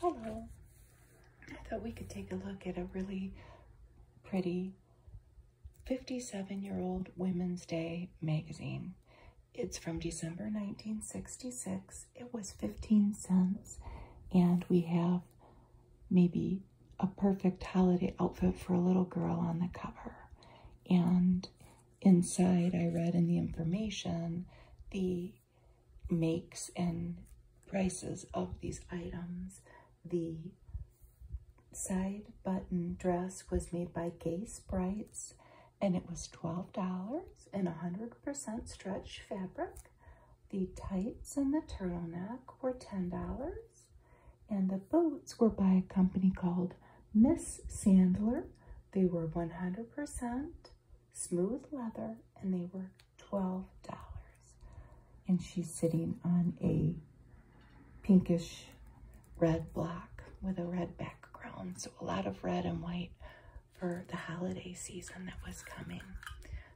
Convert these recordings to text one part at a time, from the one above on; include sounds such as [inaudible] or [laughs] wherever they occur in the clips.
Hello. I thought we could take a look at a really pretty 57-year-old Women's Day magazine. It's from December 1966. It was 15 cents and we have maybe a perfect holiday outfit for a little girl on the cover. And inside I read in the information the makes and prices of these items. The side button dress was made by Gay Sprites and it was $12 and 100% stretch fabric. The tights and the turtleneck were $10 and the boots were by a company called Miss Sandler. They were 100% smooth leather, and they were $12. And she's sitting on a pinkish red block with a red background. So a lot of red and white for the holiday season that was coming.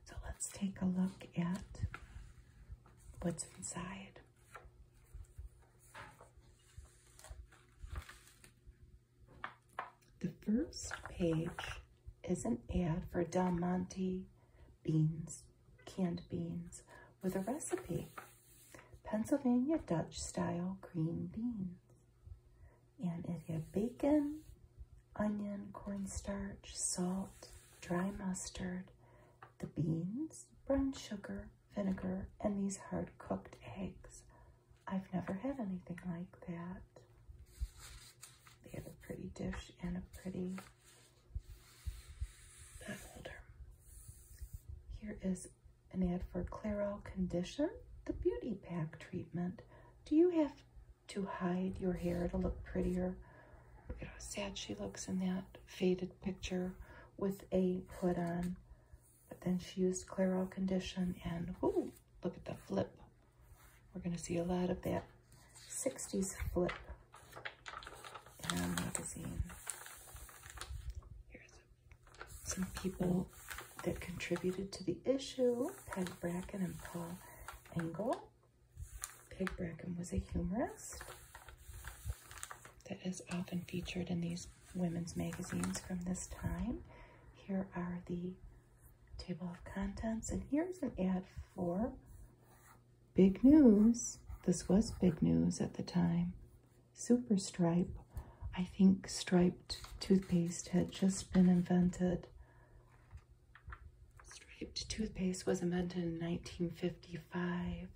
So let's take a look at what's inside. The first page is an ad for Del Monte beans, canned beans, with a recipe. Pennsylvania Dutch style green beans. And it had bacon, onion, cornstarch, salt, dry mustard, the beans, brown sugar, vinegar, and these hard cooked eggs. I've never had anything like that. They have a pretty dish and a pretty pot holder. Here is an ad for Clairol Condition, the Beauty Pack Treatment. Do you have to hide your hair to look prettier? You know, how sad she looks in that faded picture with a put on. But then she used Clairol Condition and, whoo, look at the flip we're going to see a lot of that 60s flip in our magazine. Here's some people that contributed to the issue, Peg Bracken and Paul Engel. Peg Bracken was a humorist that is often featured in these women's magazines from this time. Here are the table of contents. And here's an ad for big news. This was big news at the time. Super Stripe. I think striped toothpaste had just been invented. Striped toothpaste was invented in 1955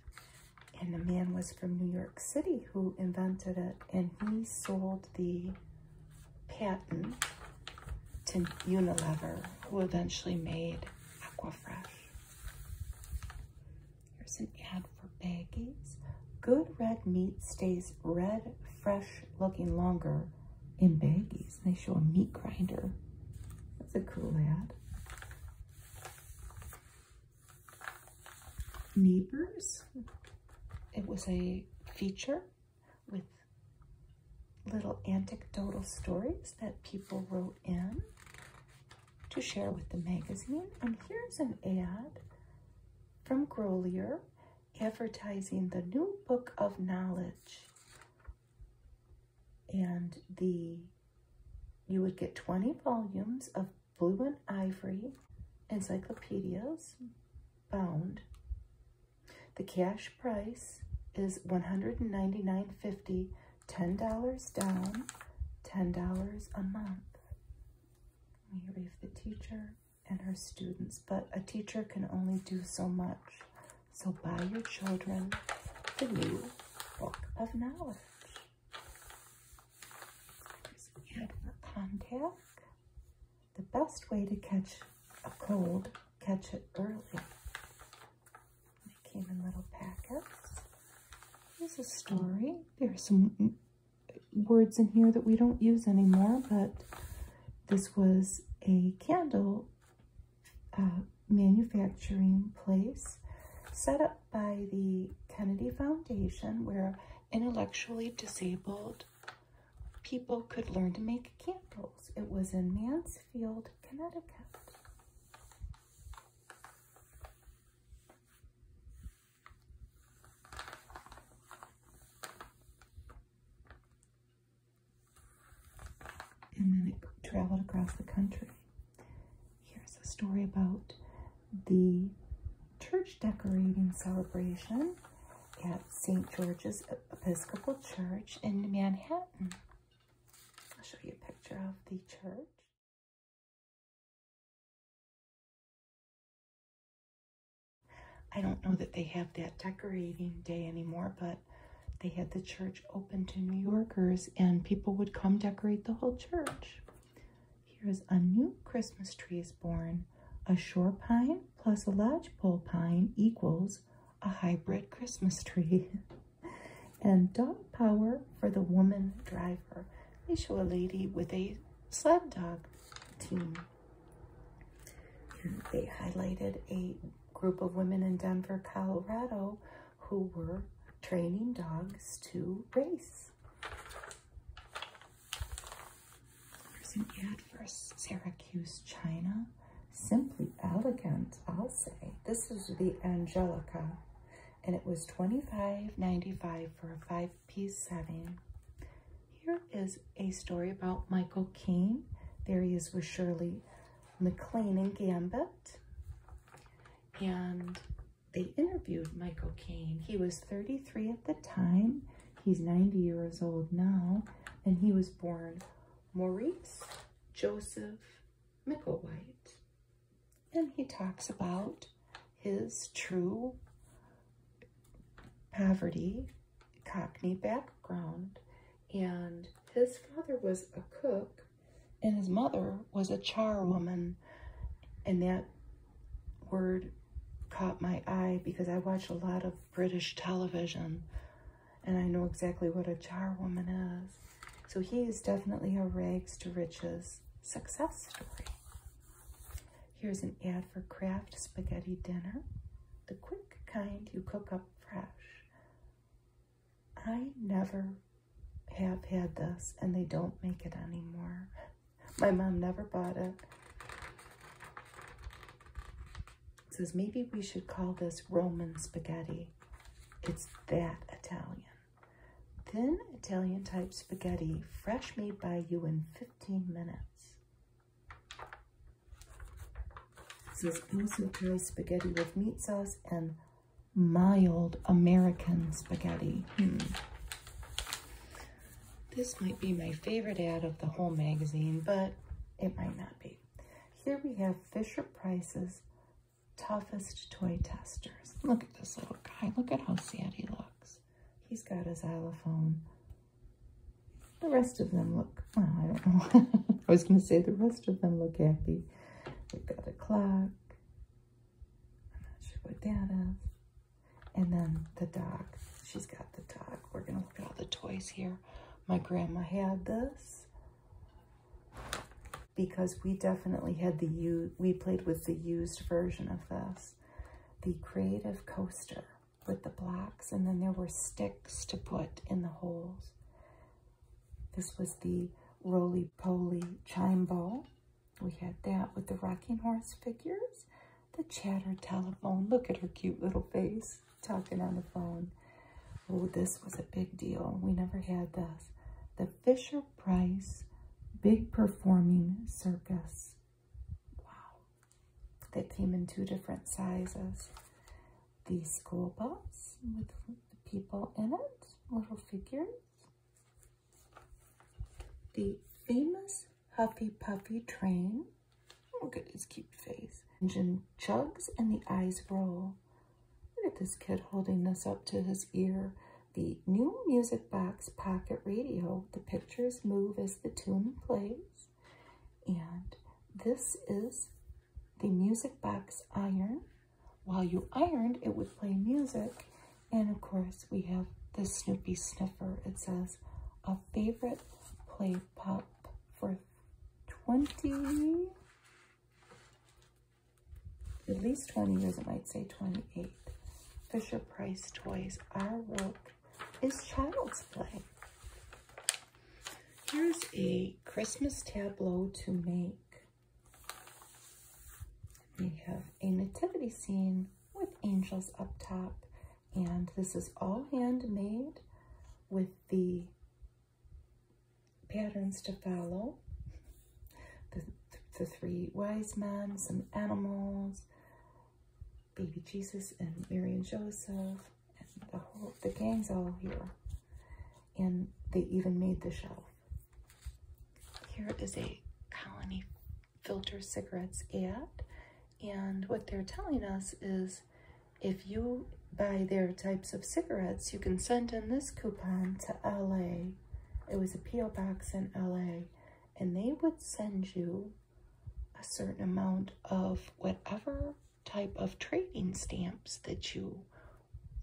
and the man was from New York City who invented it and he sold the Patent to Unilever, who eventually made Aquafresh. Here's an ad for baggies. Good red meat stays red, fresh, looking longer in baggies. They show a meat grinder. That's a cool ad. Neighbors. It was a feature with little anecdotal stories that people wrote in to share with the magazine. And here's an ad from Grolier advertising the new book of knowledge. And the you would get 20 volumes of blue and ivory encyclopedias bound the cash price is 199 dollars $10 down, $10 a month. We have the teacher and her students, but a teacher can only do so much. So buy your children the new book of knowledge. contact the best way to catch a cold, catch it early. It came in little packets. Here's a story. There are some words in here that we don't use anymore, but this was a candle uh, manufacturing place set up by the Kennedy Foundation where intellectually disabled people could learn to make candles. It was in Mansfield, Connecticut. And then it traveled across the country. Here's a story about the church decorating celebration at St. George's Episcopal Church in Manhattan. I'll show you a picture of the church. I don't know that they have that decorating day anymore, but they had the church open to New Yorkers and people would come decorate the whole church. Here's a new Christmas tree is born, a shore pine, plus a lodgepole pine equals a hybrid Christmas tree. [laughs] and dog power for the woman driver. They show a lady with a sled dog team. they highlighted a group of women in Denver, Colorado who were training dogs to race. There's an ad for Syracuse China. Simply elegant, I'll say. This is the Angelica, and it was twenty five ninety five for a five-piece setting. Here is a story about Michael Keane. There he is with Shirley MacLaine and Gambit. And they interviewed Michael Caine. He was 33 at the time. He's 90 years old now, and he was born Maurice Joseph Micklewhite. And he talks about his true poverty, Cockney background, and his father was a cook, and his mother was a charwoman, and that word caught my eye because I watch a lot of British television and I know exactly what a charwoman is. So he is definitely a rags to riches success story. Here's an ad for Kraft Spaghetti Dinner, the quick kind you cook up fresh. I never have had this and they don't make it anymore. My mom never bought it. Says maybe we should call this Roman spaghetti. It's that Italian. Thin Italian type spaghetti, fresh made by you in 15 minutes. Says also Thai spaghetti with meat sauce and mild American spaghetti. Hmm. This might be my favorite ad of the whole magazine, but it might not be. Here we have Fisher Price's toughest toy testers. Look at this little guy. Look at how sad he looks. He's got a xylophone. The rest of them look, I don't know. [laughs] I was going to say the rest of them look happy. We've got a clock. I'm not sure what that is. And then the dog. She's got the dog. We're going to look at all the toys here. My grandma had this because we definitely had the used, we played with the used version of this. The creative coaster with the blocks and then there were sticks to put in the holes. This was the roly-poly chime ball. We had that with the rocking horse figures the chatter telephone. Look at her cute little face talking on the phone. Oh, this was a big deal. We never had this. The Fisher Price Big Performing Circus. Wow. That came in two different sizes. The school bus with the people in it, little figures. The famous Huffy Puffy Train. Oh, look at his cute face. Engine chugs and the eyes roll. Look at this kid holding this up to his ear. The new music box pocket radio. The pictures move as the tune plays. And this is the music box iron. While you ironed, it would play music. And of course, we have the Snoopy sniffer. It says, a favorite Play Pop for 20. At least 20 years, it might say 28. Fisher Price Toys, Our World is Child's Play. Here's a Christmas tableau to make. We have a nativity scene with angels up top and this is all handmade with the patterns to follow. The, the three wise men, some animals, baby Jesus and Mary and Joseph, and the whole, the gang's all here. And they even made the shelf. Here is a Colony Filter Cigarettes ad. And what they're telling us is if you buy their types of cigarettes, you can send in this coupon to LA. It was a P.O. box in LA. And they would send you a certain amount of whatever type of trading stamps that you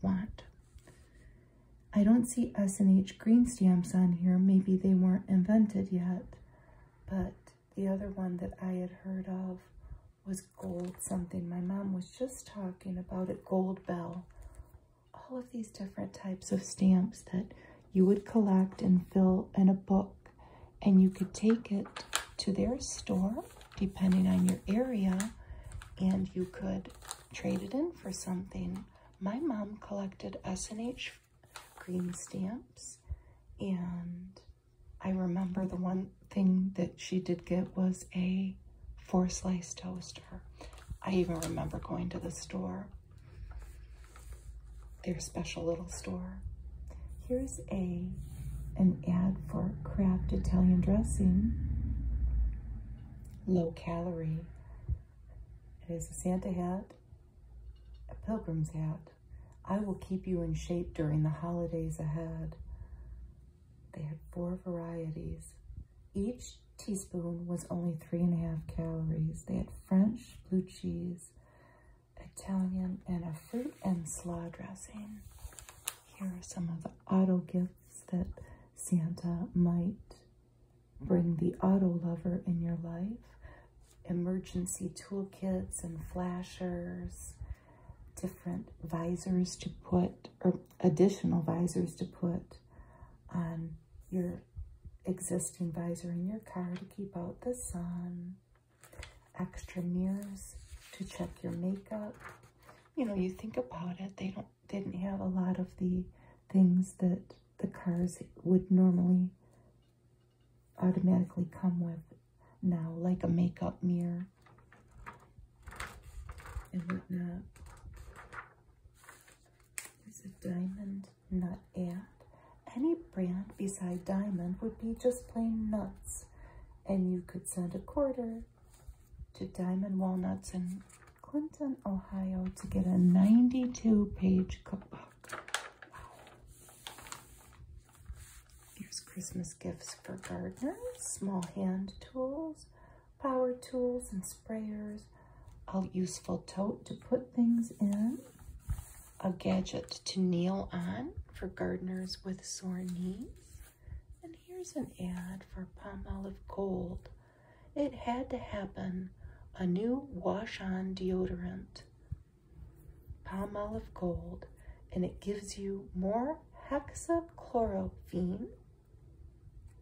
want. I don't see S.N.H. green stamps on here. Maybe they weren't invented yet, but the other one that I had heard of was gold something. My mom was just talking about it, gold bell. All of these different types of stamps that you would collect and fill in a book and you could take it to their store depending on your area and you could trade it in for something. My mom collected SNH green stamps. And I remember the one thing that she did get was a four slice toaster. I even remember going to the store, their special little store. Here's a an ad for Kraft Italian dressing, low calorie. It is a Santa hat a pilgrim's hat. I will keep you in shape during the holidays ahead. They had four varieties. Each teaspoon was only three and a half calories. They had French, blue cheese, Italian, and a fruit and slaw dressing. Here are some of the auto gifts that Santa might bring the auto lover in your life emergency toolkits and flashers, different visors to put, or additional visors to put on your existing visor in your car to keep out the sun, extra mirrors to check your makeup. You know, you think about it, they don't didn't have a lot of the things that the cars would normally automatically come with now, like a makeup mirror and whatnot. There's a diamond nut ad. Any brand beside diamond would be just plain nuts. And you could send a quarter to Diamond Walnuts in Clinton, Ohio to get a 92 page cookbook. Here's Christmas gifts for gardeners, small hand tools, power tools and sprayers, a useful tote to put things in, a gadget to kneel on for gardeners with sore knees, and here's an ad for Palmolive gold. It had to happen. A new wash-on deodorant. Palmolive gold, and it gives you more hexachlorophene,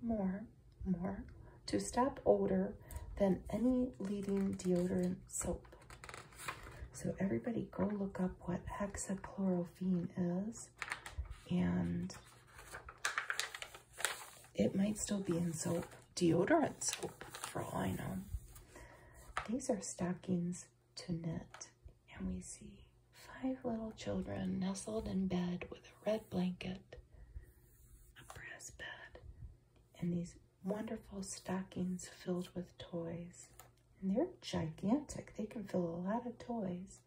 more, more, to stop odor than any leading deodorant soap. So everybody go look up what hexachlorophene is and it might still be in soap deodorant soap oh, for I know. These are stockings to knit, and we see five little children nestled in bed with a red blanket, a brass bed, and these wonderful stockings filled with toys. And they're gigantic. They can fill a lot of toys.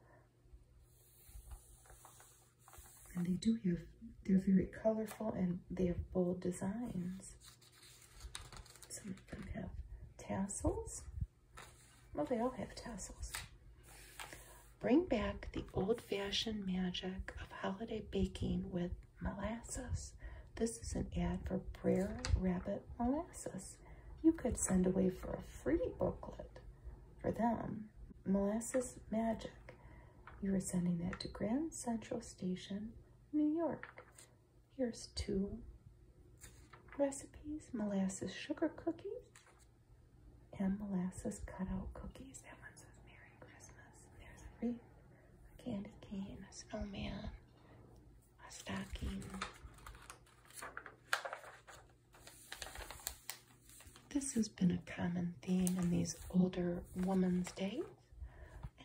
And they do have they're very colorful and they have bold designs. Some of them have tassels. Well, they all have tassels. Bring back the old-fashioned magic of holiday baking with molasses. This is an ad for Brer Rabbit Molasses. You could send away for a free booklet for them. Molasses Magic. You are sending that to Grand Central Station, New York. Here's two recipes, molasses sugar cookies and molasses cutout cookies. That one says Merry Christmas. there's a wreath, a candy cane, a snowman, a stocking. This has been a common theme in these older women's days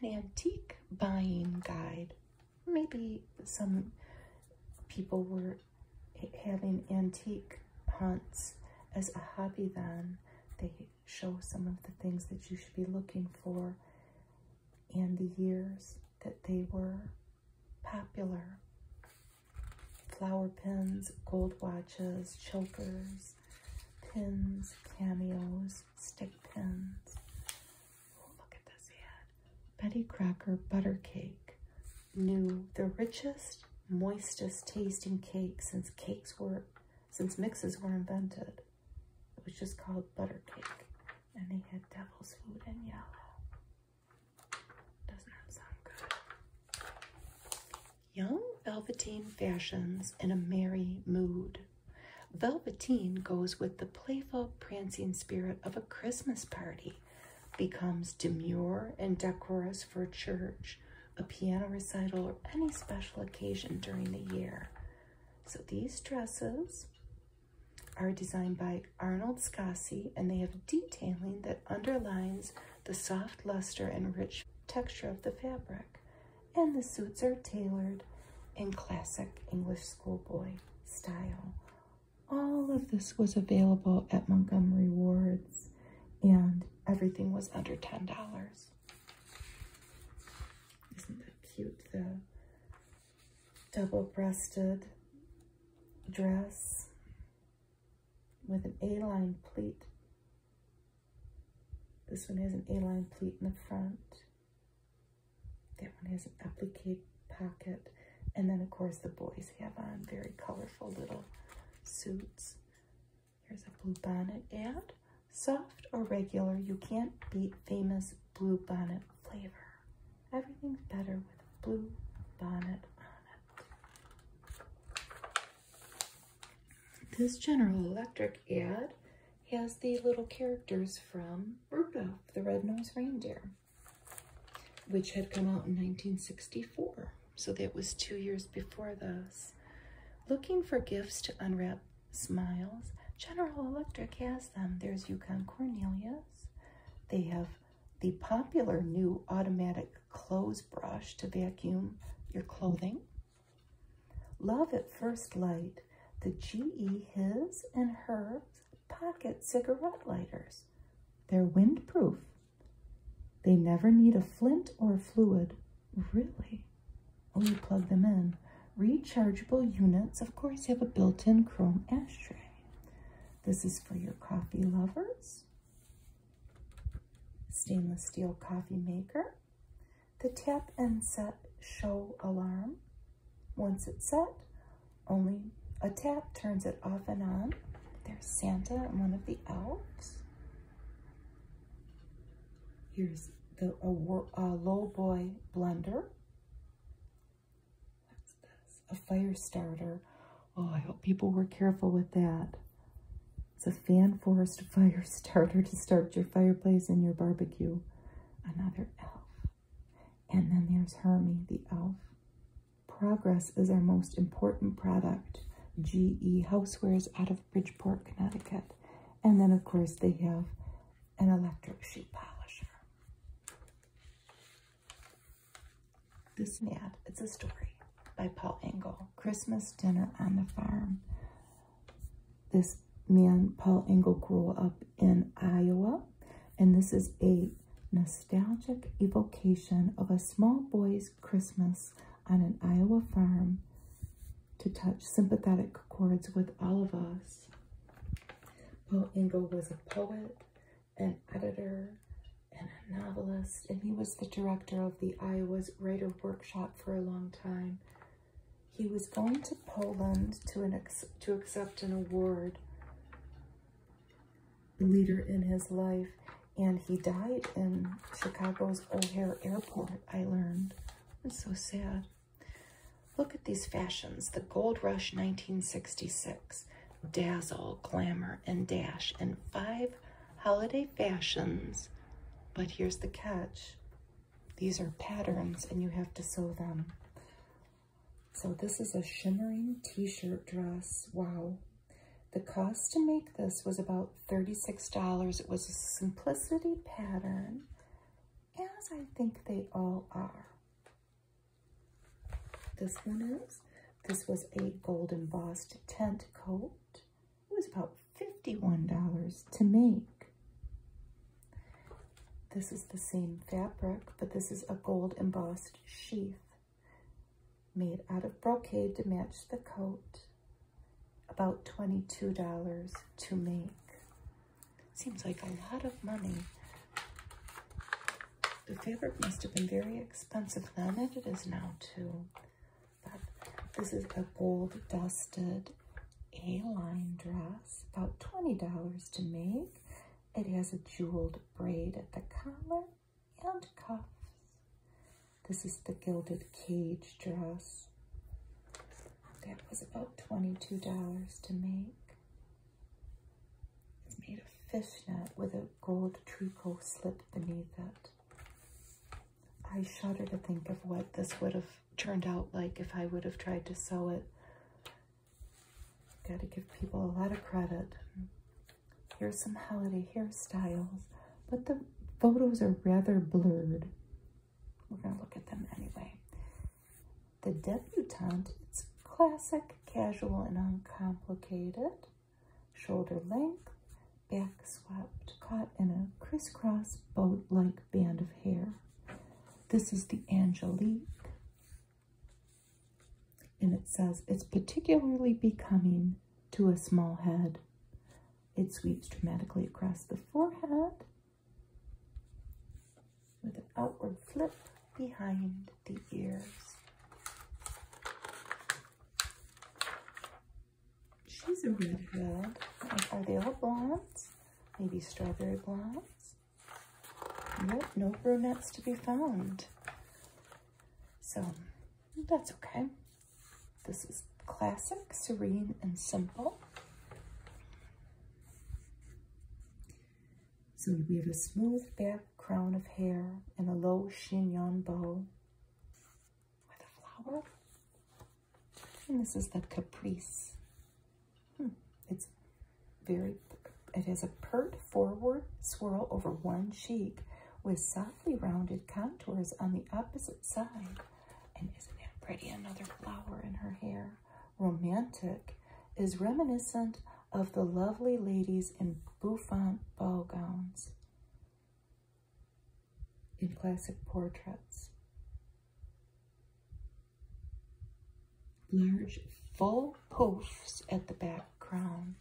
an antique buying guide. Maybe some people were having antique hunts as a hobby then. They show some of the things that you should be looking for and the years that they were popular. Flower pins, gold watches, chokers, pins, cameos, stick pins. Oh, look at this ad. Betty Cracker Butter Cake. New, the richest, moistest tasting cake since cakes were, since mixes were invented. It was just called butter cake. And they had devil's food in yellow. Doesn't that sound good? Young Velveteen fashions in a merry mood. Velveteen goes with the playful, prancing spirit of a Christmas party, becomes demure and decorous for church, a piano recital, or any special occasion during the year. So these dresses are designed by Arnold Scassi, and they have detailing that underlines the soft luster and rich texture of the fabric and the suits are tailored in classic English schoolboy style. All of this was available at Montgomery Ward's and everything was under $10. Isn't that cute? The double-breasted dress with an A-line pleat this one has an A-line pleat in the front. That one has an applique pocket. And then, of course, the boys have on very colorful little suits. Here's a blue bonnet and Soft or regular, you can't beat famous blue bonnet flavor. Everything's better with a blue bonnet on it. This General Electric ad has the little characters from Rudolph the Red-Nosed Reindeer, which had come out in 1964. So that was two years before this. Looking for gifts to unwrap smiles, General Electric has them. There's Yukon Cornelius. They have the popular new automatic clothes brush to vacuum your clothing. Love at First Light, the GE His and Her pocket cigarette lighters. They're windproof. They never need a flint or fluid. Really? Oh, you plug them in. Rechargeable units, of course, have a built-in chrome ashtray. This is for your coffee lovers. Stainless steel coffee maker. The tap and set show alarm. Once it's set, only a tap turns it off and on. There's Santa and one of the elves. Here's the a, a boy blender. What's A fire starter. Oh, I hope people were careful with that. It's a fan forest fire starter to start your fireplace and your barbecue. Another elf. And then there's Hermie, the elf. Progress is our most important product. GE Housewares out of Bridgeport, Connecticut. And then, of course, they have an electric shoe polisher. This mad. It's a story by Paul Engel. Christmas dinner on the farm. This man, Paul Engel, grew up in Iowa, and this is a nostalgic evocation of a small boy's Christmas on an Iowa farm to touch sympathetic chords with all of us. Paul Engel was a poet, an editor, and a novelist, and he was the director of the Iowa's Writer Workshop for a long time. He was going to Poland to, an to accept an award Leader in his life, and he died in Chicago's O'Hare Airport, I learned. It's so sad. Look at these fashions. The Gold Rush 1966. Dazzle, glamour, and dash in five holiday fashions. But here's the catch. These are patterns and you have to sew them. So this is a shimmering t-shirt dress. Wow. The cost to make this was about $36. It was a simplicity pattern, as I think they all are. This one is. This was a gold embossed tent coat. It was about $51 to make. This is the same fabric, but this is a gold embossed sheath made out of brocade to match the coat. About $22 to make. Seems like a lot of money. The fabric must have been very expensive then, and it is now too. This is a gold dusted A-line dress, about $20 to make. It has a jeweled braid at the collar and cuffs. This is the Gilded Cage dress. That was about $22 to make. It's made of fishnet with a gold tricot slip beneath it. I shudder to think of what this would have turned out like if I would have tried to sew it. Got to give people a lot of credit. Here's some holiday hairstyles, but the photos are rather blurred. We're going to look at them anyway. The debutante, it's classic, casual, and uncomplicated. Shoulder length, back swept, caught in a crisscross boat like band of hair. This is the Angelique. And it says it's particularly becoming to a small head. It sweeps dramatically across the forehead with an outward flip behind the ears. She's a really good. Are they all blondes? Maybe strawberry blondes? Nope, no brunettes to be found. So that's okay. This is classic, serene, and simple. So we have a smooth back crown of hair and a low chignon bow with a flower. And this is the Caprice. Hmm, it's very, it has a pert forward swirl over one cheek with softly rounded contours on the opposite side. And isn't that pretty? Another flower in her hair. Romantic is reminiscent of the lovely ladies in bouffant ball gowns in classic portraits. Large full poofs at the back crown.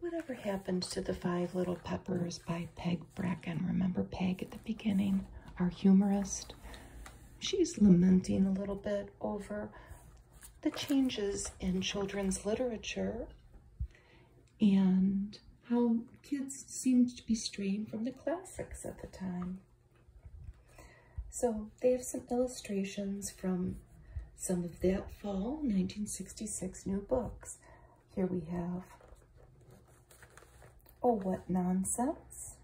Whatever happened to the Five Little Peppers by Peg Bracken? Remember Peg at the beginning, our humorist? She's lamenting a little bit over the changes in children's literature and how kids seemed to be straying from the classics at the time. So they have some illustrations from some of that fall 1966 new books. Here we have Oh What Nonsense,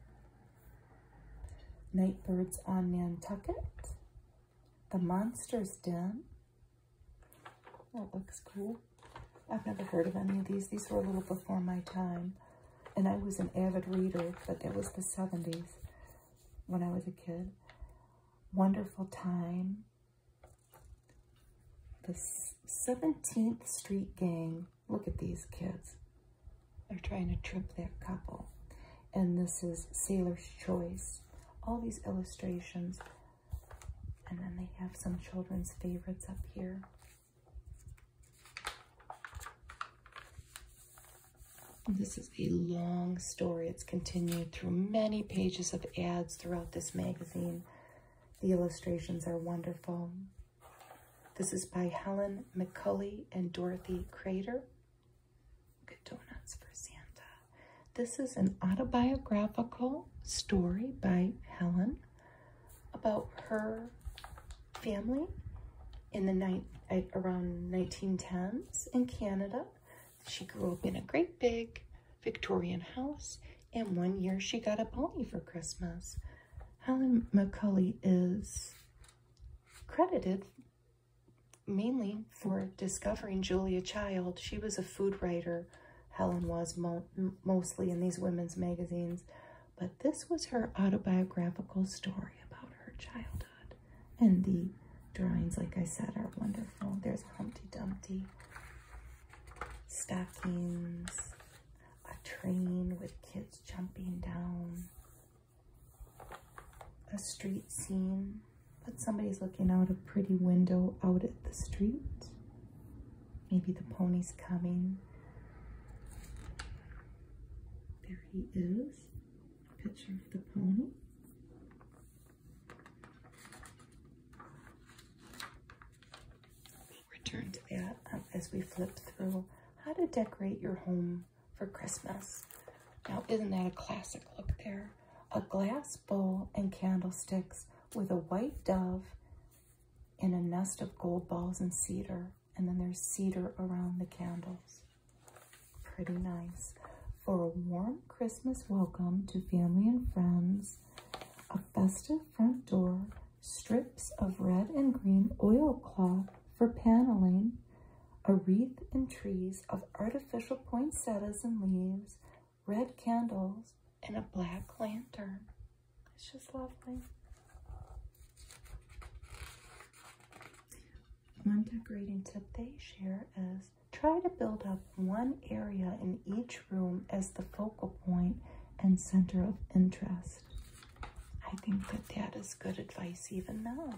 Nightbirds on Nantucket, The Monster's Den, that looks cool. I've never heard of any of these. These were a little before my time. And I was an avid reader, but it was the 70s when I was a kid. Wonderful Time. The 17th Street Gang. Look at these kids. They're trying to trip that couple. And this is Sailor's Choice. All these illustrations and then they have some children's favorites up here. This is a long story. It's continued through many pages of ads throughout this magazine. The illustrations are wonderful. This is by Helen McCulley and Dorothy Crater. Good donuts for Santa. This is an autobiographical story by Helen about her family in the night around 1910s in Canada. She grew up in a great big Victorian house, and one year she got a pony for Christmas. Helen McCulley is credited mainly for discovering Julia Child. She was a food writer. Helen was mostly in these women's magazines. But this was her autobiographical story about her childhood. And the drawings, like I said, are wonderful. There's Humpty Dumpty, stockings, a train with kids jumping down, a street scene, but somebody's looking out a pretty window out at the street. Maybe the pony's coming. There he is. Picture of the pony. we return to that um, as we flip through how to decorate your home for Christmas. Now, isn't that a classic look there? a glass bowl and candlesticks with a white dove in a nest of gold balls and cedar. And then there's cedar around the candles. Pretty nice. For a warm Christmas welcome to family and friends, a festive front door, strips of red and green oilcloth for paneling, a wreath and trees of artificial poinsettias and leaves, red candles, and a black lantern. It's just lovely. One decorating tip they share is try to build up one area in each room as the focal point and center of interest. I think that that is good advice even now.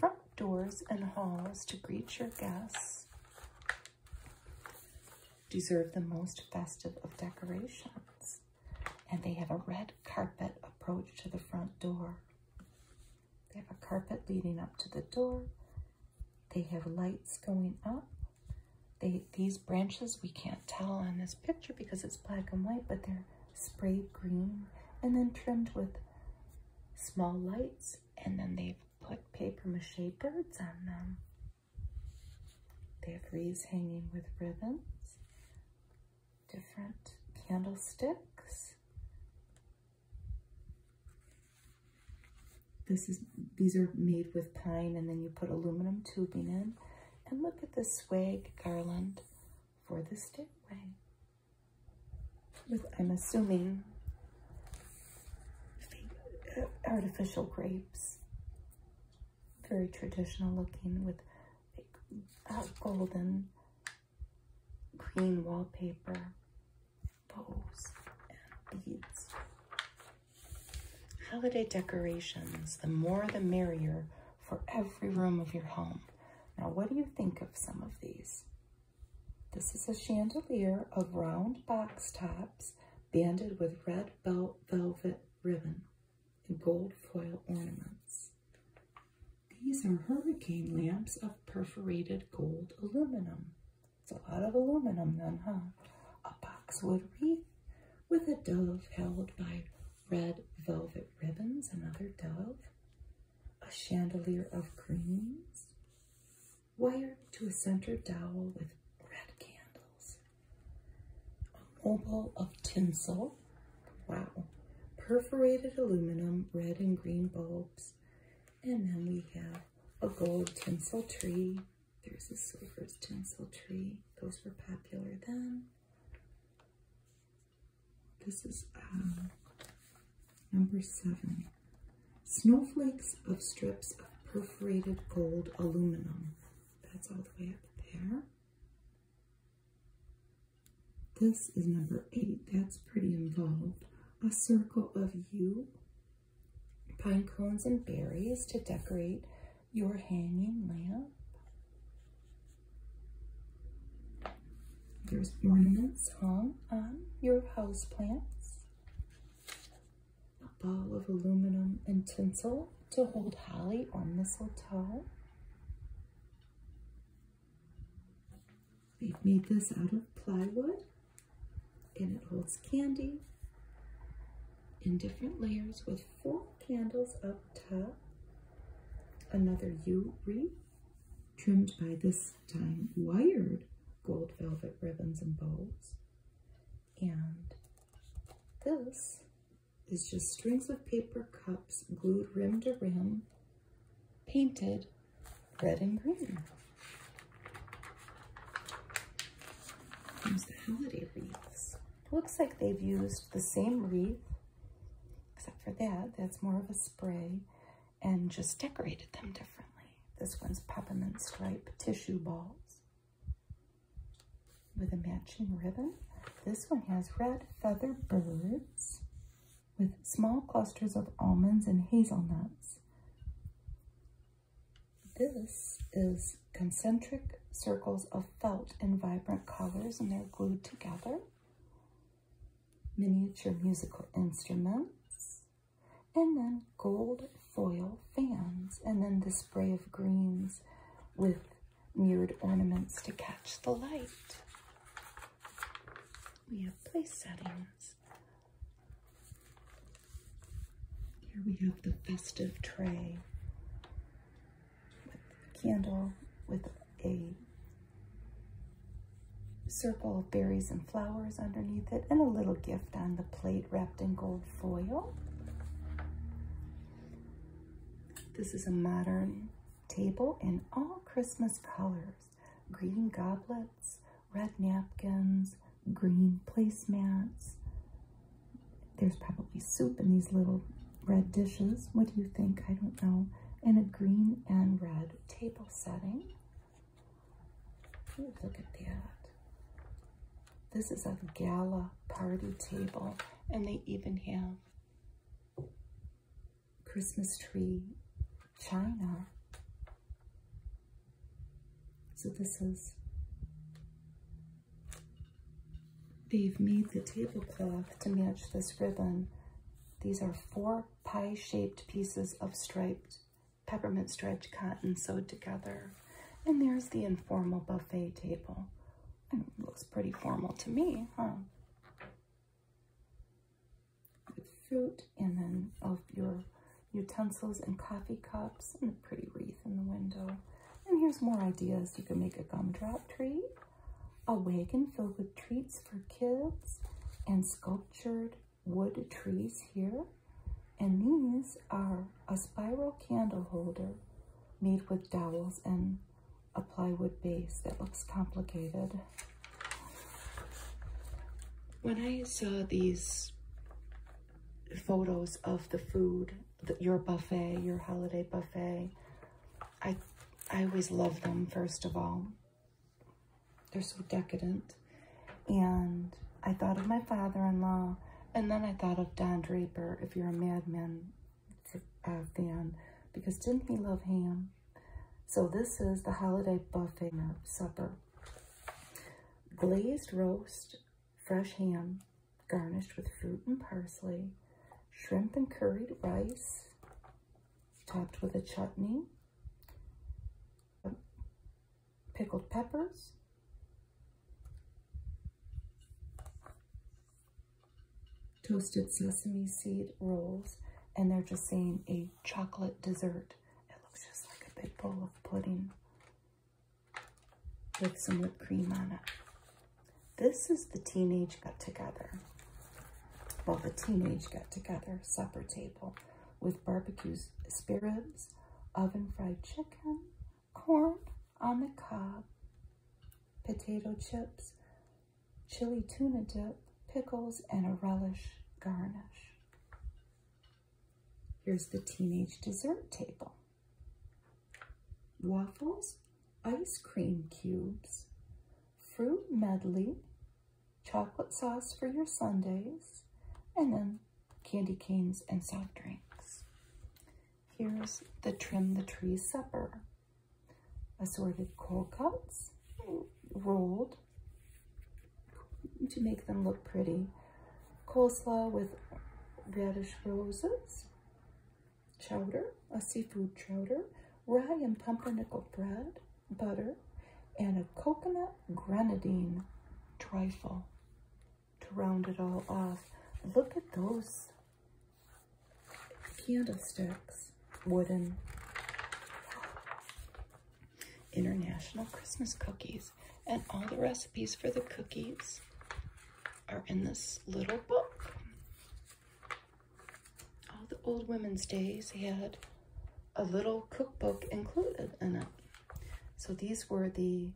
Front doors and halls to greet your guests deserve the most festive of decorations. And they have a red carpet approach to the front door. They have a carpet leading up to the door. They have lights going up. They, these branches, we can't tell on this picture because it's black and white, but they're sprayed green and then trimmed with small lights and then they've put paper mache birds on them. They have wreaths hanging with ribbons, different candlesticks. This is these are made with pine and then you put aluminum tubing in. And look at the swag garland for the stairway with, I'm assuming, artificial grapes. Very traditional looking with golden green wallpaper, bows, and beads. Holiday decorations, the more the merrier for every room of your home. Now, what do you think of some of these? This is a chandelier of round box tops banded with red velvet ribbon and gold foil ornaments. These are hurricane lamps of perforated gold aluminum. It's a lot of aluminum then, huh? A boxwood wreath with a dove held by red velvet ribbons, another dove, a chandelier of greens, wired to a center dowel with red candles. A mobile of tinsel, wow, perforated aluminum, red and green bulbs, and then we have a gold tinsel tree. There's a silver tinsel tree. Those were popular then. This is uh, Number seven, snowflakes of strips of perforated gold aluminum. That's all the way up there. This is number eight. That's pretty involved. A circle of you, pine cones and berries to decorate your hanging lamp. There's ornaments hung on your house plants a ball of aluminum and tinsel to hold holly or mistletoe. We've made this out of plywood and it holds candy in different layers with four candles up top, another U wreath, trimmed by this time wired gold velvet ribbons and bows. And this is just strings of paper cups glued rim to rim, painted red and green. Here's the holiday wreaths. Looks like they've used the same wreath, except for that, that's more of a spray and just decorated them differently. This one's peppermint stripe tissue balls with a matching ribbon. This one has red feather birds with small clusters of almonds and hazelnuts. This is concentric circles of felt in vibrant colors and they're glued together. Miniature musical instruments and then gold foil fans, and then the spray of greens with mirrored ornaments to catch the light. We have place settings. Here we have the festive tray with a candle with a circle of berries and flowers underneath it and a little gift on the plate wrapped in gold foil. This is a modern table in all Christmas colors. Green goblets, red napkins, green placemats. There's probably soup in these little red dishes. What do you think? I don't know. In a green and red table setting look at that. This is a gala party table, and they even have Christmas tree china. So this is, they've made the tablecloth to match this ribbon. These are four pie-shaped pieces of striped peppermint stretch and sewed together. And there's the informal buffet table. looks pretty formal to me, huh? fruit and then of your utensils and coffee cups and a pretty wreath in the window. And here's more ideas. You can make a gumdrop tree, a wagon filled with treats for kids, and sculptured wood trees here. And these are a spiral candle holder made with dowels and a plywood base that looks complicated. When I saw these photos of the food, your buffet, your holiday buffet, I, I always love them, first of all. They're so decadent. And I thought of my father-in-law, and then I thought of Don Draper, if you're a Mad Men uh, fan, because didn't he love ham? So this is the holiday buffet supper. Glazed roast, fresh ham, garnished with fruit and parsley, shrimp and curried rice, topped with a chutney, pickled peppers. Toasted sesame seed rolls. And they're just saying a chocolate dessert. It looks just like a big bowl of pudding with some whipped cream on it. This is the teenage got together. Well, the teenage got together supper table with barbecue spare oven fried chicken, corn on the cob, potato chips, chili tuna dip, pickles, and a relish garnish. Here's the teenage dessert table. Waffles, ice cream cubes, fruit medley, chocolate sauce for your Sundays, and then candy canes and soft drinks. Here's the Trim the Tree supper. Assorted cold cuts, rolled to make them look pretty. Coleslaw with radish roses, chowder, a seafood chowder, rye and pumpkin bread, butter and a coconut grenadine trifle to round it all off. Look at those candlesticks, wooden international Christmas cookies. And all the recipes for the cookies are in this little book. All the old women's days had a little cookbook included in it. So these were the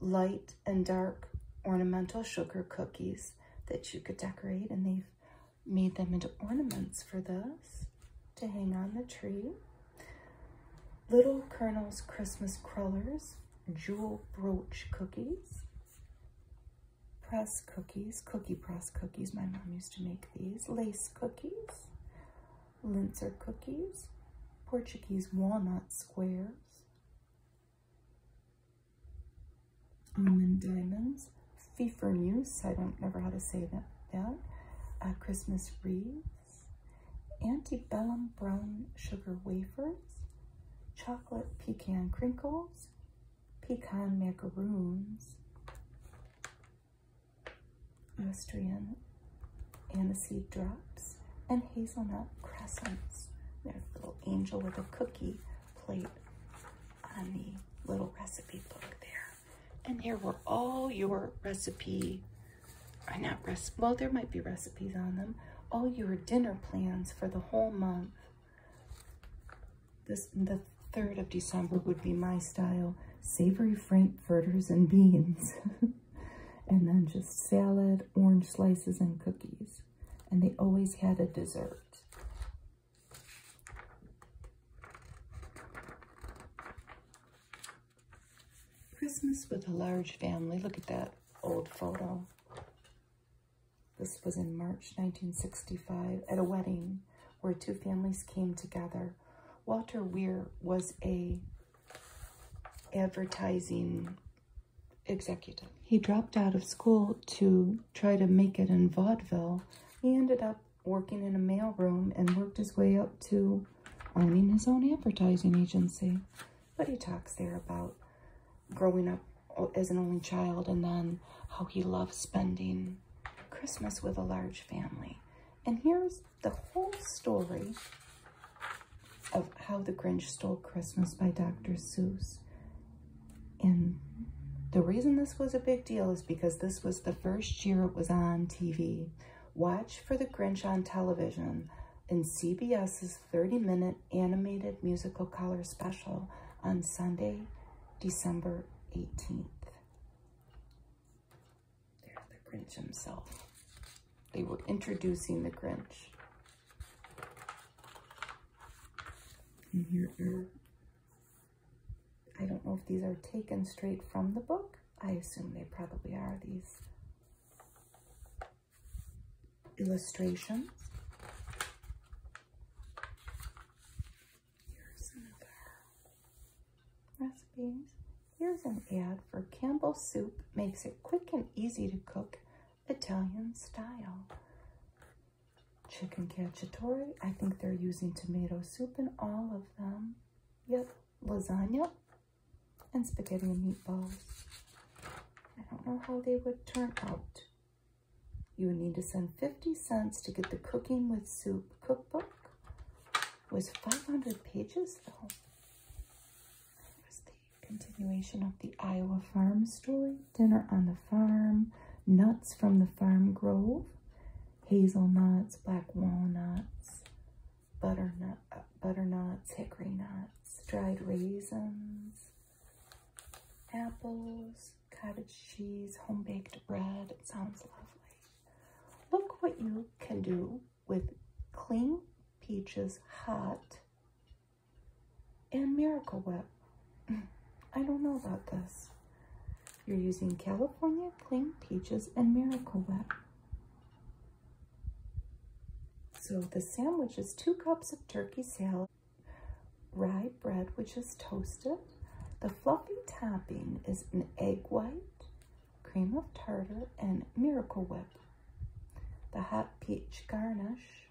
light and dark ornamental sugar cookies that you could decorate and they've made them into ornaments for this to hang on the tree. Little Colonel's Christmas Crullers, jewel brooch cookies, press cookies, cookie press cookies my mom used to make these lace cookies, linzer cookies, Portuguese walnut squares, almond diamonds, fifernus, I don't never how to say that, that. Uh, Christmas wreaths, antebellum brown sugar wafers, chocolate pecan crinkles, pecan macaroons, Austrian aniseed drops, and hazelnut crescents. There's a little angel with a cookie plate on the little recipe book there. And here were all your recipe, uh, not recipe, well, there might be recipes on them, all your dinner plans for the whole month. This the third of December would be my style: savory frankfurters and beans, [laughs] and then just salad, orange slices, and cookies. And they always had a dessert. Christmas with a large family. Look at that old photo. This was in March 1965 at a wedding where two families came together. Walter Weir was a advertising executive. He dropped out of school to try to make it in vaudeville. He ended up working in a mailroom and worked his way up to owning his own advertising agency. But he talks there about growing up as an only child and then how he loved spending Christmas with a large family. And here's the whole story of How the Grinch Stole Christmas by Dr. Seuss. And the reason this was a big deal is because this was the first year it was on TV. Watch for the Grinch on television in CBS's 30-minute animated musical color special on Sunday, December 18th. There's the Grinch himself. They were introducing the Grinch. And here are, I don't know if these are taken straight from the book. I assume they probably are these illustrations. Here's another recipes. Here's an ad for Campbell's soup. Makes it quick and easy to cook Italian style. Chicken cacciatore. I think they're using tomato soup in all of them. Yep, lasagna and spaghetti and meatballs. I don't know how they would turn out. You would need to send 50 cents to get the cooking with soup cookbook was 500 pages though. It was the continuation of the Iowa farm story, dinner on the farm, nuts from the farm grove, hazelnuts, black walnuts, butternut, uh, butternuts, hickory nuts, dried raisins, apples, cottage cheese, home baked bread. It sounds lovely. Look what you can do with clean peaches hot and Miracle Whip. [laughs] I don't know about this. You're using California clean peaches and Miracle Whip. So the sandwich is two cups of turkey salad, right? bread, which is toasted. The fluffy topping is an egg white, cream of tartar, and Miracle Whip. The hot peach garnish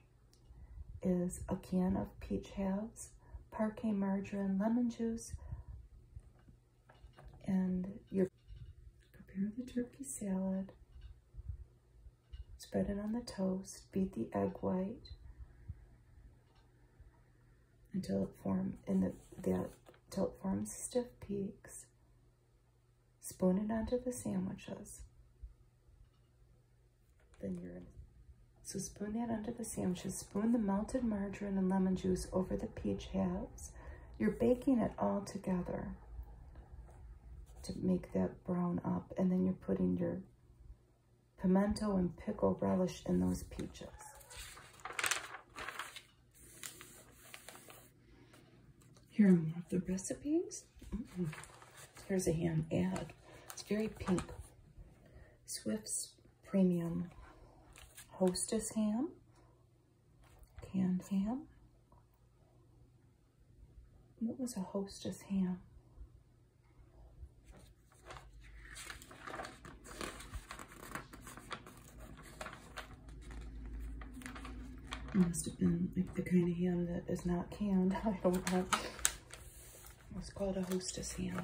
is a can of peach halves, parmesan, margarine, lemon juice, and your prepare the turkey salad, spread it on the toast, beat the egg white, until it form in the, the till it forms stiff peaks. Spoon it onto the sandwiches. Then you're So spoon that onto the sandwiches. Spoon the melted margarine and lemon juice over the peach halves. You're baking it all together to make that brown up. And then you're putting your pimento and pickle relish in those peaches. Here are more of the recipes. Here's a ham ad. It's very pink. Swift's Premium Hostess Ham. Canned ham. What was a hostess ham? It must have been the kind of ham that is not canned. [laughs] I don't know. It's called a hostess ham.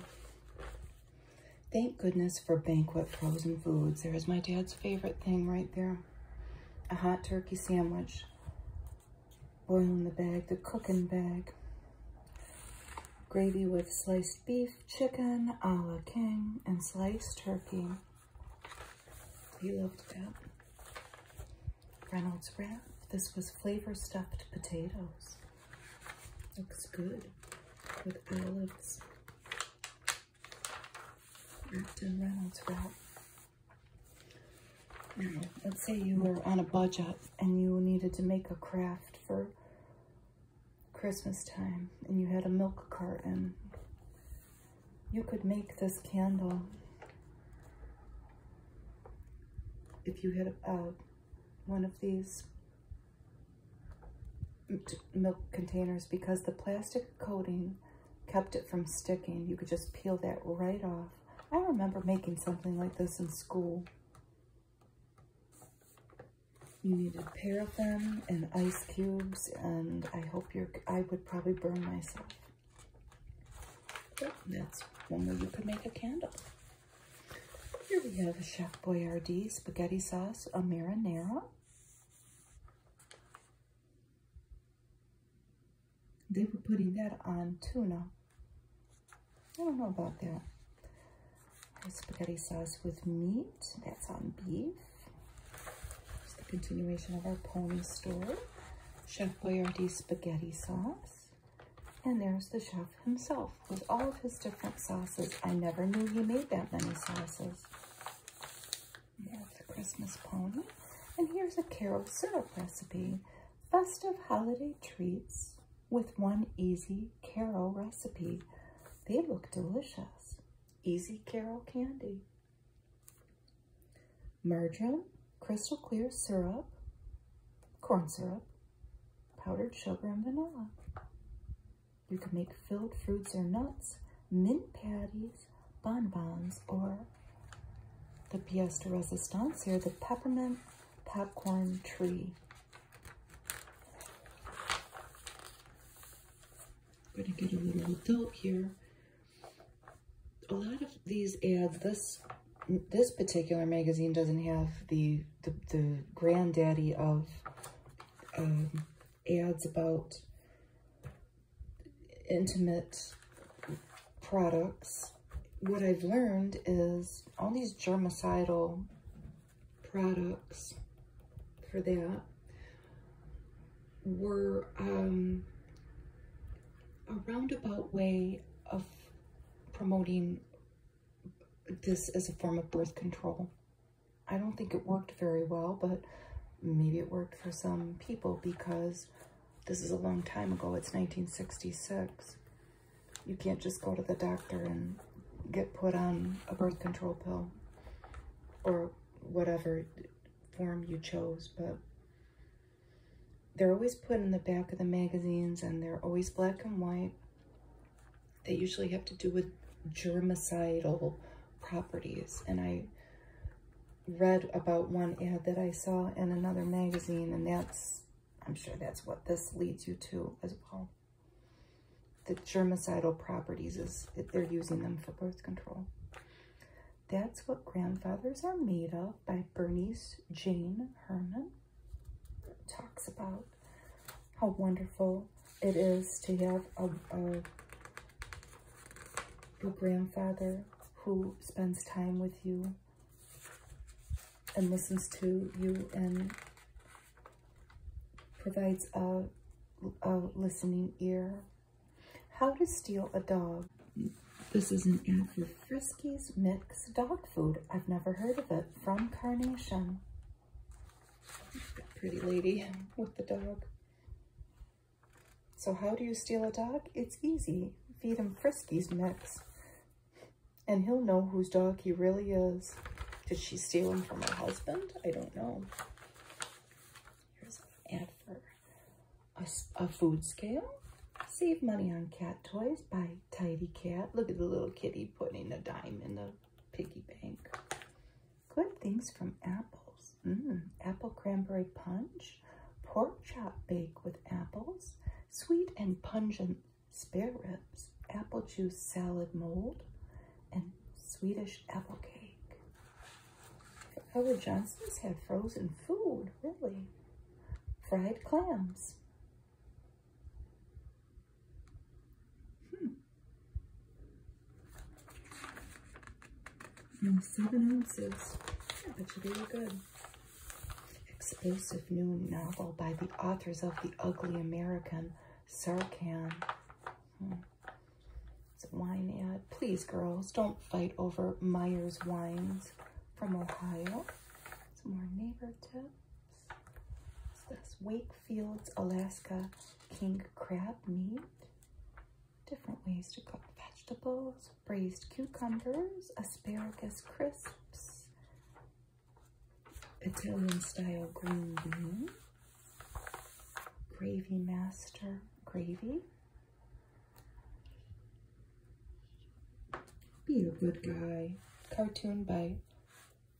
Thank goodness for banquet frozen foods. There is my dad's favorite thing right there. A hot turkey sandwich. Boil in the bag, the cooking bag. Gravy with sliced beef, chicken, a la king, and sliced turkey. You looked that. Reynolds wrap. This was flavor stuffed potatoes. Looks good with olives. Wrapped Reynolds wrap. Now, let's say you were on a budget and you needed to make a craft for Christmas time and you had a milk carton, you could make this candle if you had uh, one of these milk containers because the plastic coating kept it from sticking. You could just peel that right off. I remember making something like this in school. You need a pair of them and ice cubes, and I hope you're, I would probably burn myself. that's one way you could make a candle. Here we have a Chef Boyardee spaghetti sauce, a marinara. They were putting that on tuna. I don't know about that. spaghetti sauce with meat. That's on beef. It's the continuation of our pony story. Chef Boyardee spaghetti sauce. And there's the chef himself with all of his different sauces. I never knew he made that many sauces. There's the Christmas pony. And here's a carol syrup recipe. Festive holiday treats with one easy Carol recipe. They look delicious. Easy Carol candy. Margarine, crystal clear syrup, corn syrup, powdered sugar, and vanilla. You can make filled fruits or nuts, mint patties, bonbons, or the pièce de résistance here, the peppermint popcorn tree. I'm going to get a little adult here. A lot of these ads, this this particular magazine doesn't have the the, granddaddy of um, ads about intimate products. What I've learned is all these germicidal products for that were um, a roundabout way of promoting this as a form of birth control. I don't think it worked very well, but maybe it worked for some people because this is a long time ago. It's 1966. You can't just go to the doctor and get put on a birth control pill or whatever form you chose, but they're always put in the back of the magazines and they're always black and white. They usually have to do with germicidal properties. And I read about one ad that I saw in another magazine and that's, I'm sure that's what this leads you to as well the germicidal properties is that they're using them for birth control. That's what grandfathers are made of by Bernice Jane Herman. talks about how wonderful it is to have a, a, a grandfather who spends time with you and listens to you and provides a, a listening ear. How to steal a dog. This is an ad for Frisky's Mixed Dog Food. I've never heard of it. From Carnation. Pretty lady with the dog. So how do you steal a dog? It's easy. Feed him Friskies Mix. And he'll know whose dog he really is. Did she steal him from her husband? I don't know. Here's a ad for a, food scale. Save money on cat toys by Tidy Cat. Look at the little kitty putting a dime in the piggy bank. Good things from apples. Mm, apple cranberry punch. Pork chop bake with apples. Sweet and pungent spare ribs, apple juice salad mold, and Swedish apple cake. Howard Johnson's had frozen food, really. Fried clams. Hmm. seven ounces. I bet you they good explosive new novel by the authors of The Ugly American, Sarcan. Hmm. It's a wine ad. Please, girls, don't fight over Myers Wines from Ohio. Some more neighbor tips. What's this? Wakefield's Alaska King Crab Meat. Different ways to cook vegetables. Braised cucumbers, asparagus crisps, Italian style green bean, gravy master gravy. Be a good guy. Cartoon by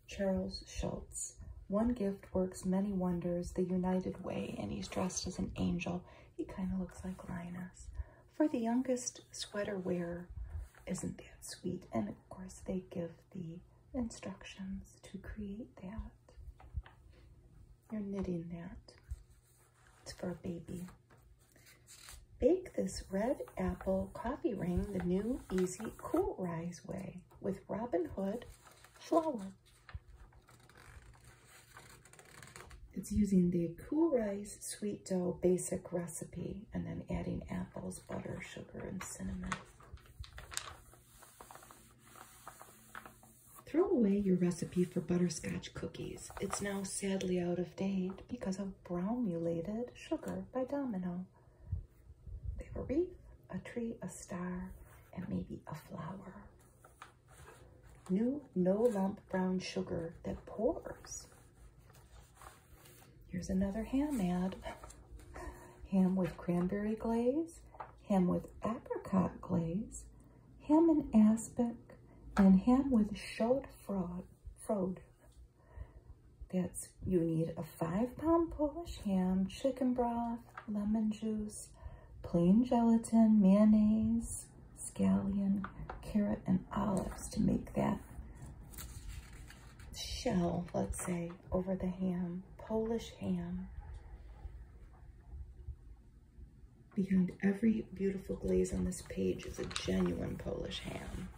Charles Schultz. One gift works many wonders, the united way, and he's dressed as an angel. He kind of looks like Linus. For the youngest sweater wear isn't that sweet? And of course, they give the instructions to create that. You're knitting that. It's for a baby. Bake this red apple coffee ring the new easy cool rise way with Robin Hood flour. It's using the Cool Rise Sweet Dough Basic Recipe and then adding apples, butter, sugar, and cinnamon. Throw away your recipe for butterscotch cookies. It's now sadly out of date because of bromulated sugar by Domino. They a wreath, a tree, a star, and maybe a flower. New no lump brown sugar that pours. Here's another ham ad. Ham with cranberry glaze, ham with apricot glaze, ham and aspic, and ham with showed fraud, fraud. That's, you need a five pound Polish ham, chicken broth, lemon juice, plain gelatin, mayonnaise, scallion, carrot, and olives to make that shell, let's say, over the ham, Polish ham. Behind every beautiful glaze on this page is a genuine Polish ham.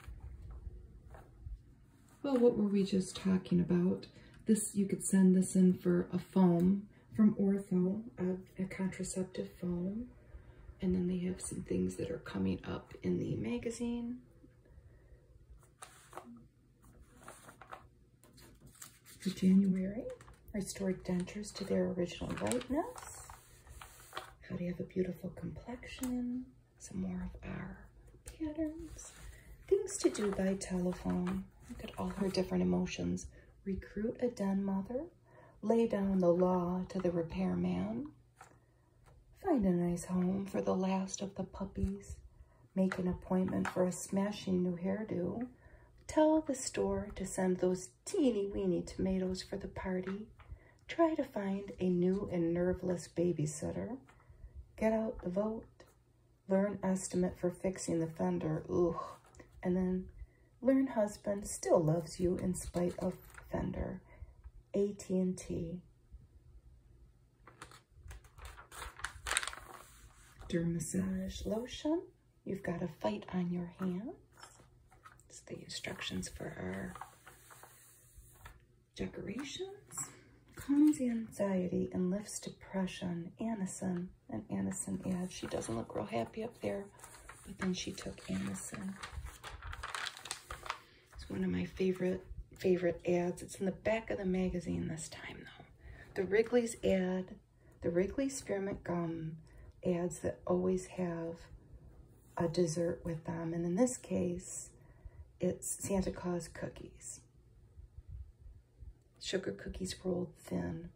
Well, what were we just talking about? This, you could send this in for a foam from Ortho, a, a contraceptive foam. And then they have some things that are coming up in the magazine. For January, restore dentures to their original whiteness. How do you have a beautiful complexion. Some more of our patterns. Things to do by telephone. Look at all her different emotions. Recruit a den mother. Lay down the law to the repair man. Find a nice home for the last of the puppies. Make an appointment for a smashing new hairdo. Tell the store to send those teeny weeny tomatoes for the party. Try to find a new and nerveless babysitter. Get out the vote. Learn estimate for fixing the fender. Ugh. And then learn husband still loves you in spite of fender. AT&T. Dermassage lotion. You've got a fight on your hands. It's the instructions for our decorations. Calms anxiety and lifts depression. Anison, an Anison ad. She doesn't look real happy up there, but then she took Anison. It's one of my favorite, favorite ads. It's in the back of the magazine this time though. The Wrigley's ad, the Wrigley's Spearmint Gum ads that always have a dessert with them. And in this case, it's Santa Claus cookies. Sugar cookies rolled thin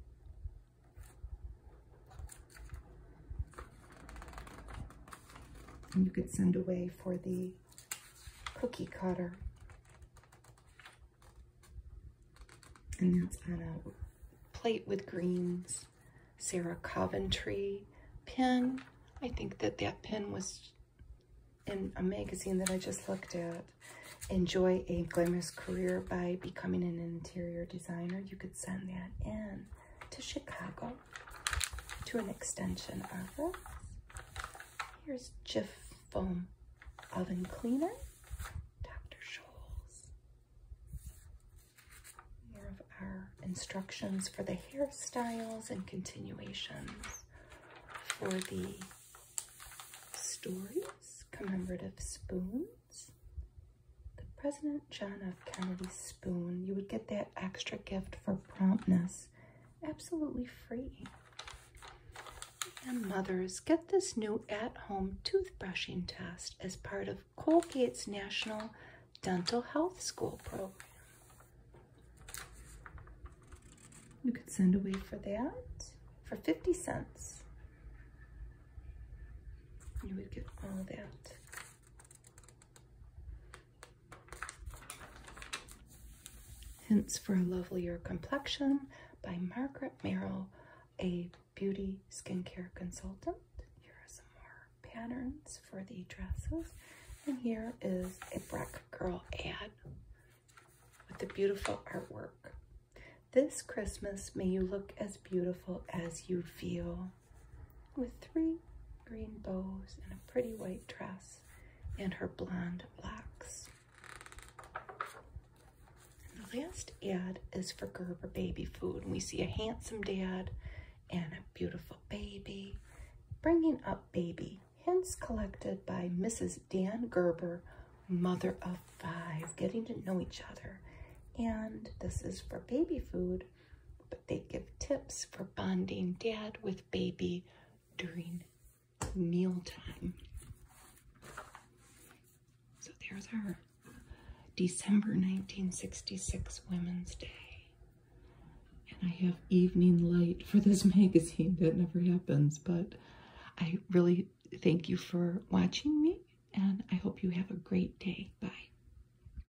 you could send away for the cookie cutter. And that's on a plate with greens. Sarah Coventry pin. I think that that pin was in a magazine that I just looked at. Enjoy a glamorous career by becoming an interior designer. You could send that in to Chicago to an extension office. Here's Jif Foam Oven Cleaner, Dr. Scholl's. More of our instructions for the hairstyles and continuations for the stories, commemorative spoons. The President John F. F. spoon. You would get that extra gift for promptness. Absolutely free. And mothers, get this new at-home toothbrushing test as part of Colgate's National Dental Health School program. You could send away for that for 50 cents. You would get all that. Hints for a Lovelier Complexion by Margaret Merrill, a beauty skincare consultant. Here are some more patterns for the dresses. And here is a Breck Girl ad with the beautiful artwork. This Christmas, may you look as beautiful as you feel with three green bows and a pretty white dress and her blonde locks. the last ad is for Gerber baby food. And we see a handsome dad and a beautiful baby bringing up baby. Hints collected by Mrs. Dan Gerber, mother of five, getting to know each other. And this is for baby food but they give tips for bonding dad with baby during mealtime. So there's our December 1966 Women's Day. And I have evening light for this [laughs] magazine. That never happens, but I really thank you for watching me, and I hope you have a great day. Bye.